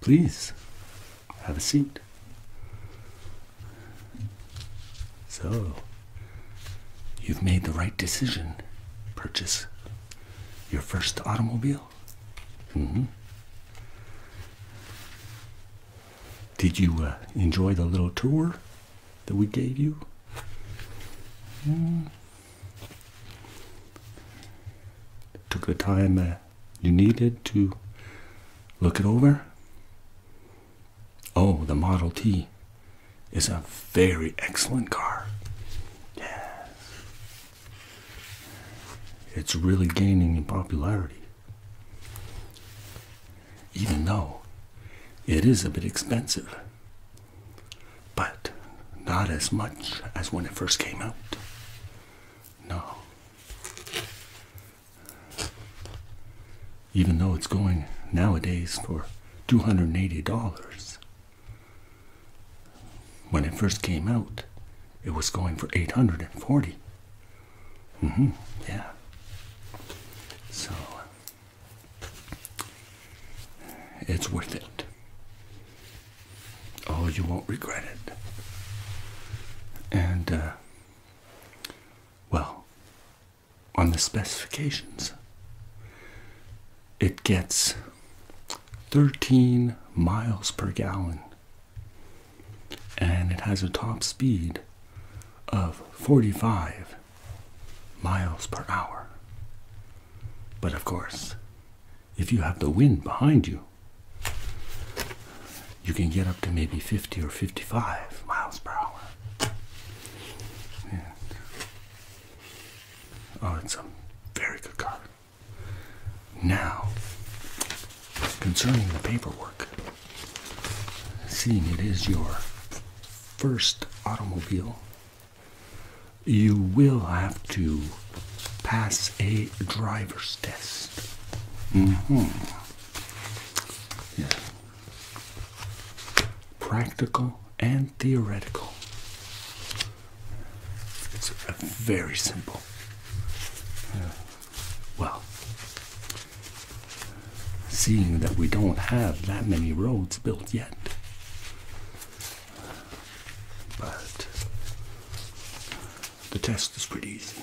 Please have a seat. So, you've made the right decision. Purchase your first automobile. Mm-hmm. Did you uh, enjoy the little tour that we gave you? Mm. Took the time you needed to look it over. Oh, the Model T is a very excellent car. Yeah. It's really gaining in popularity. Even though it is a bit expensive but not as much as when it first came out. No. Even though it's going nowadays for $280, when it first came out, it was going for 840. Mm-hmm. Yeah. So it's worth it. Oh, you won't regret it. And, uh, well, on the specifications, it gets 13 miles per gallon and it has a top speed of 45 miles per hour. But of course, if you have the wind behind you, you can get up to maybe 50 or 55 miles per hour. oh, it's a very good car. Now, concerning the paperwork, seeing it is your first automobile, you will have to pass a driver's test. hmm Yeah. Practical and theoretical. It's very simple. Well, Seeing that we don't have that many roads built yet. But the test is pretty easy.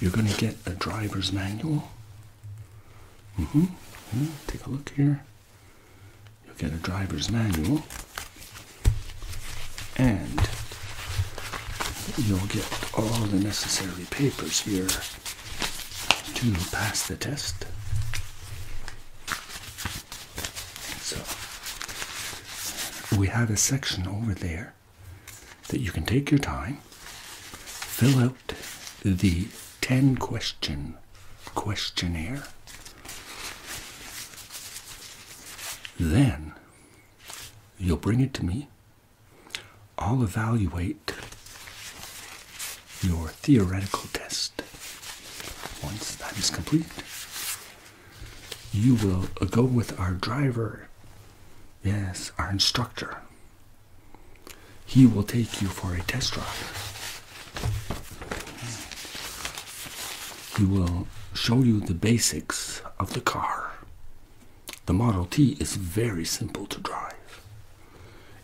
You're going to get a driver's manual. Mm-hmm. Mm-hmm. take a look here. You'll get a driver's manual. And you'll get all the necessary papers here to pass the test. So we have a section over there that you can take your time, fill out the 10 question questionnaire. Then you'll bring it to me I'll evaluate your theoretical test once that is complete. You will go with our driver, yes, our instructor. He will take you for a test drive. He will show you the basics of the car. The Model T is very simple to drive.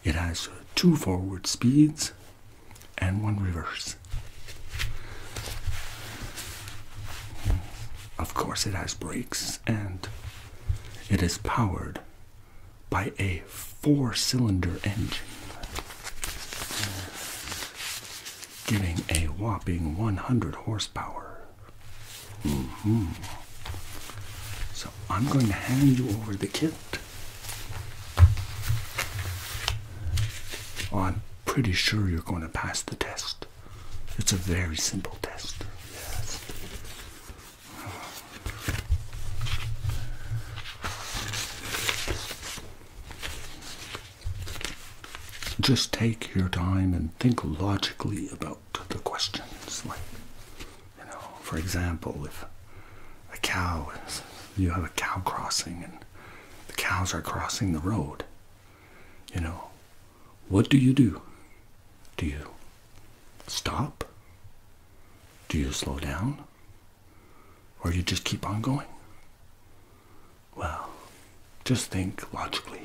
It has two forward speeds and one reverse. Of course, it has brakes and it is powered by a four cylinder engine, giving a whopping 100 horsepower -hmm. So I'm going to hand you over the kit. Oh, I'm pretty sure you're going to pass the test. It's a very simple test. Yes. Just take your time and think logically about to the questions. Like, you know, for example, if a cow is, you have a cow crossing and the cows are crossing the road, you know, what do you do? Do you stop? Do you slow down? Or you just keep on going? Well, just think logically.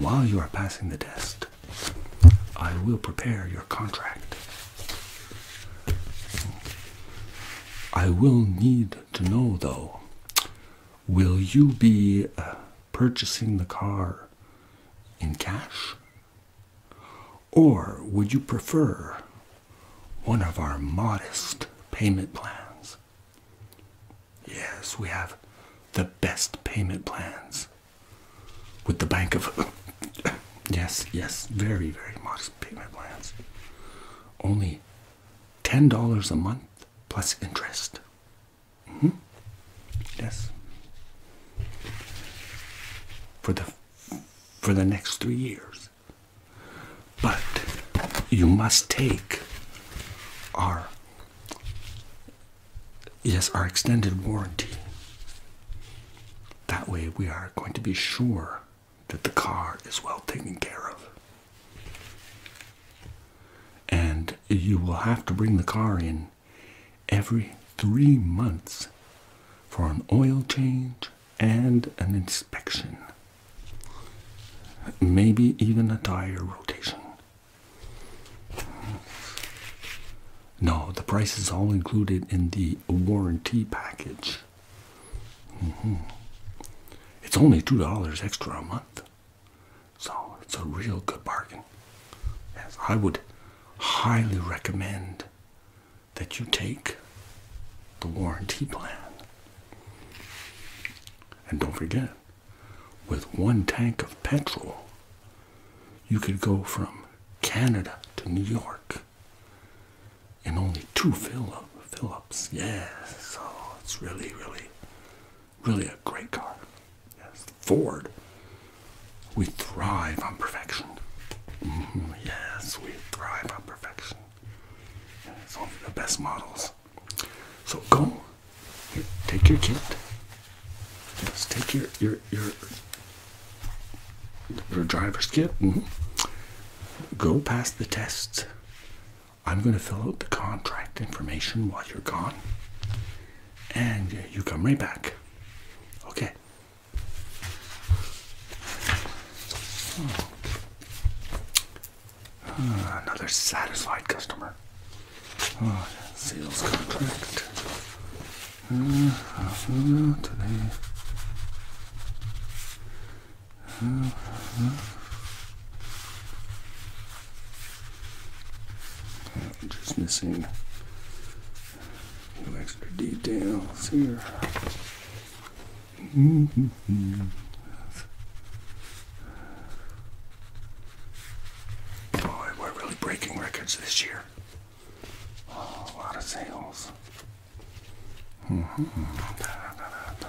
While you are passing the test, I will prepare your contract. I will need to know though will you be uh, purchasing the car in cash? Or would you prefer one of our modest payment plans? Yes, we have the best payment plans with the Bank of. yes, yes, very, very modest payment plans. Only $10 a month plus interest. Mm-hmm. Yes. For the for the next three years. But you must take our yes, our extended warranty. That way we are going to be sure that the car is well taken care of. And you will have to bring the car in every three months for an oil change and an inspection, maybe even a tire rotation. No, the price is all included in the warranty package. Mm-hmm. It's only $2 extra a month. So it's a real good bargain. I would highly recommend that you take the warranty plan. And don't forget, with one tank of petrol, you could go from Canada to New York in only two fill up, fill ups. Yes, oh, it's really, really, really a great car. Yes, Ford. We thrive on perfection. Mm-hmm. Yes, we thrive on perfection. And it's only the best models. So go, Here, take your kit. Just take your your your your driver's kit. Mm Go past the tests. I'm going to fill out the contract information while you're gone, and you come right back. Okay. Oh. another satisfied customer. Oh, sales contract. Uh, uh, today. just missing a few extra details here. Boy, we're really breaking records this year. Oh, a lot of sales. Mm -hmm. da, da, da,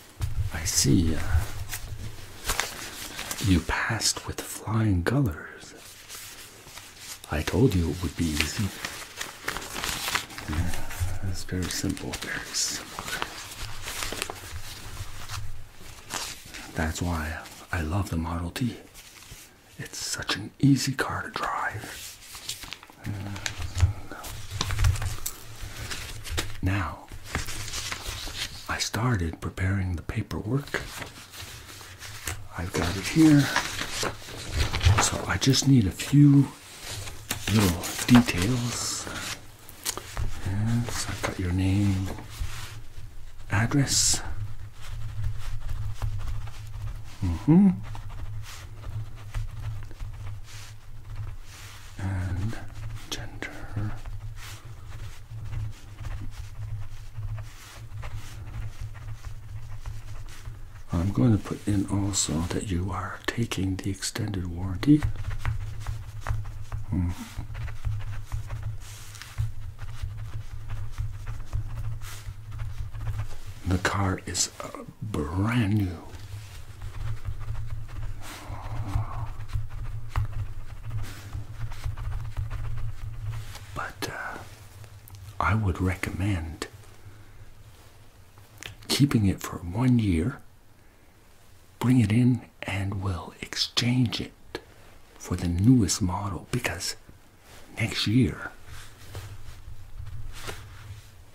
I see. Uh, you passed with flying colors. I told you it would be easy. It's very simple. Very simple. That's why I love the Model T. It's such an easy car to drive. Uh, now, I started preparing the paperwork. I've got it here. So I just need a few little details. Yes, I've got your name, address. hmm and gender. I'm going to put in also that you are taking the extended warranty. Hmm. The car is uh, brand new. But uh, I would recommend keeping it for one year, bring it in, and we'll exchange it for the newest model because next year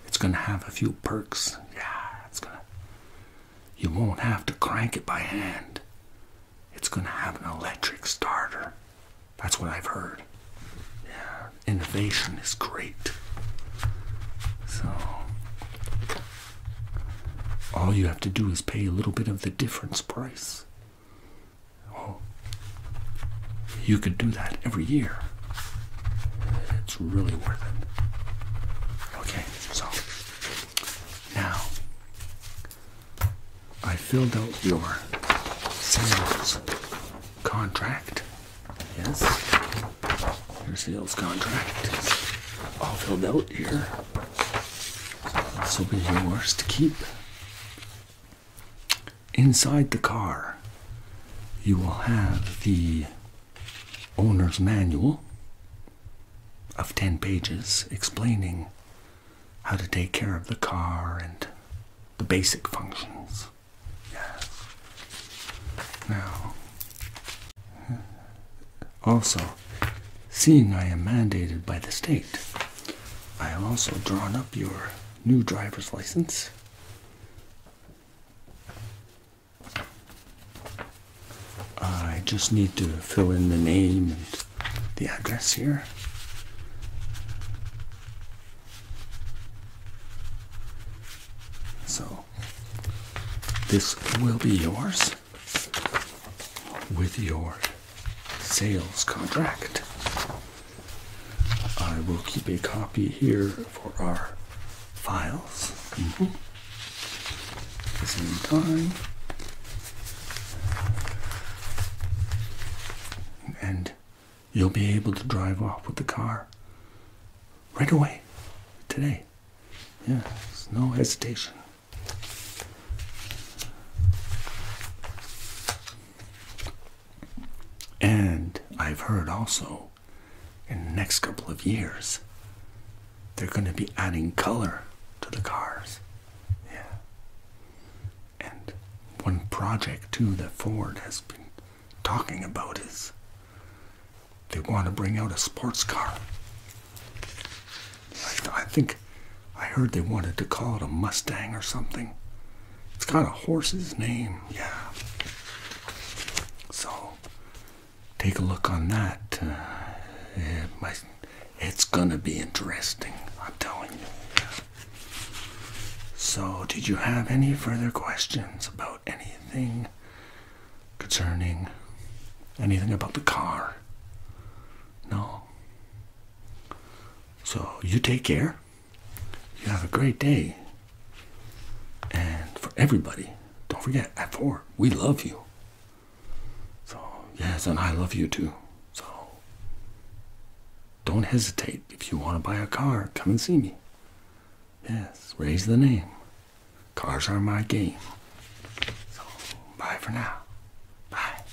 it's gonna have a few perks. Yeah, it's gonna. You won't have to crank it by hand. It's gonna have an electric starter. That's what I've heard. Yeah, innovation is great. So, all you have to do is pay a little bit of the difference price. Oh, you could do that every year. It's really worth it. Okay, so now I filled out your sales contract. Yes, your sales contract is all filled out here. This will be yours to keep. Inside the car, you will have the owner's manual of 10 pages explaining how to take care of the car and the basic functions. Now, also, seeing I am mandated by the state, I have also drawn up your new driver's license. I just need to fill in the name and the address here. So, this will be yours with your sales contract. I will keep a copy here for our files. Mm-hmm. At the same time. And you'll be able to drive off with the car right away today. Yeah, there's no hesitation. And I've heard also in the next couple of years they're going to be adding color to the cars. Yeah. And one project too that Ford has been talking about is they want to bring out a sports car. I, think I heard they wanted to call it a Mustang or something. It's kind of a horse's name, yeah. So take a look on that. Uh, it's gonna be interesting, I'm telling you. So, did you have any further questions about anything concerning anything about the car? No. So you take care. You have a great day. And for everybody, don't forget, at four, we love you. So, yes, and I love you too. So, don't hesitate. If you want to buy a car, come and see me. Yes, raise the name. Cars are my game. So, bye for now. Bye.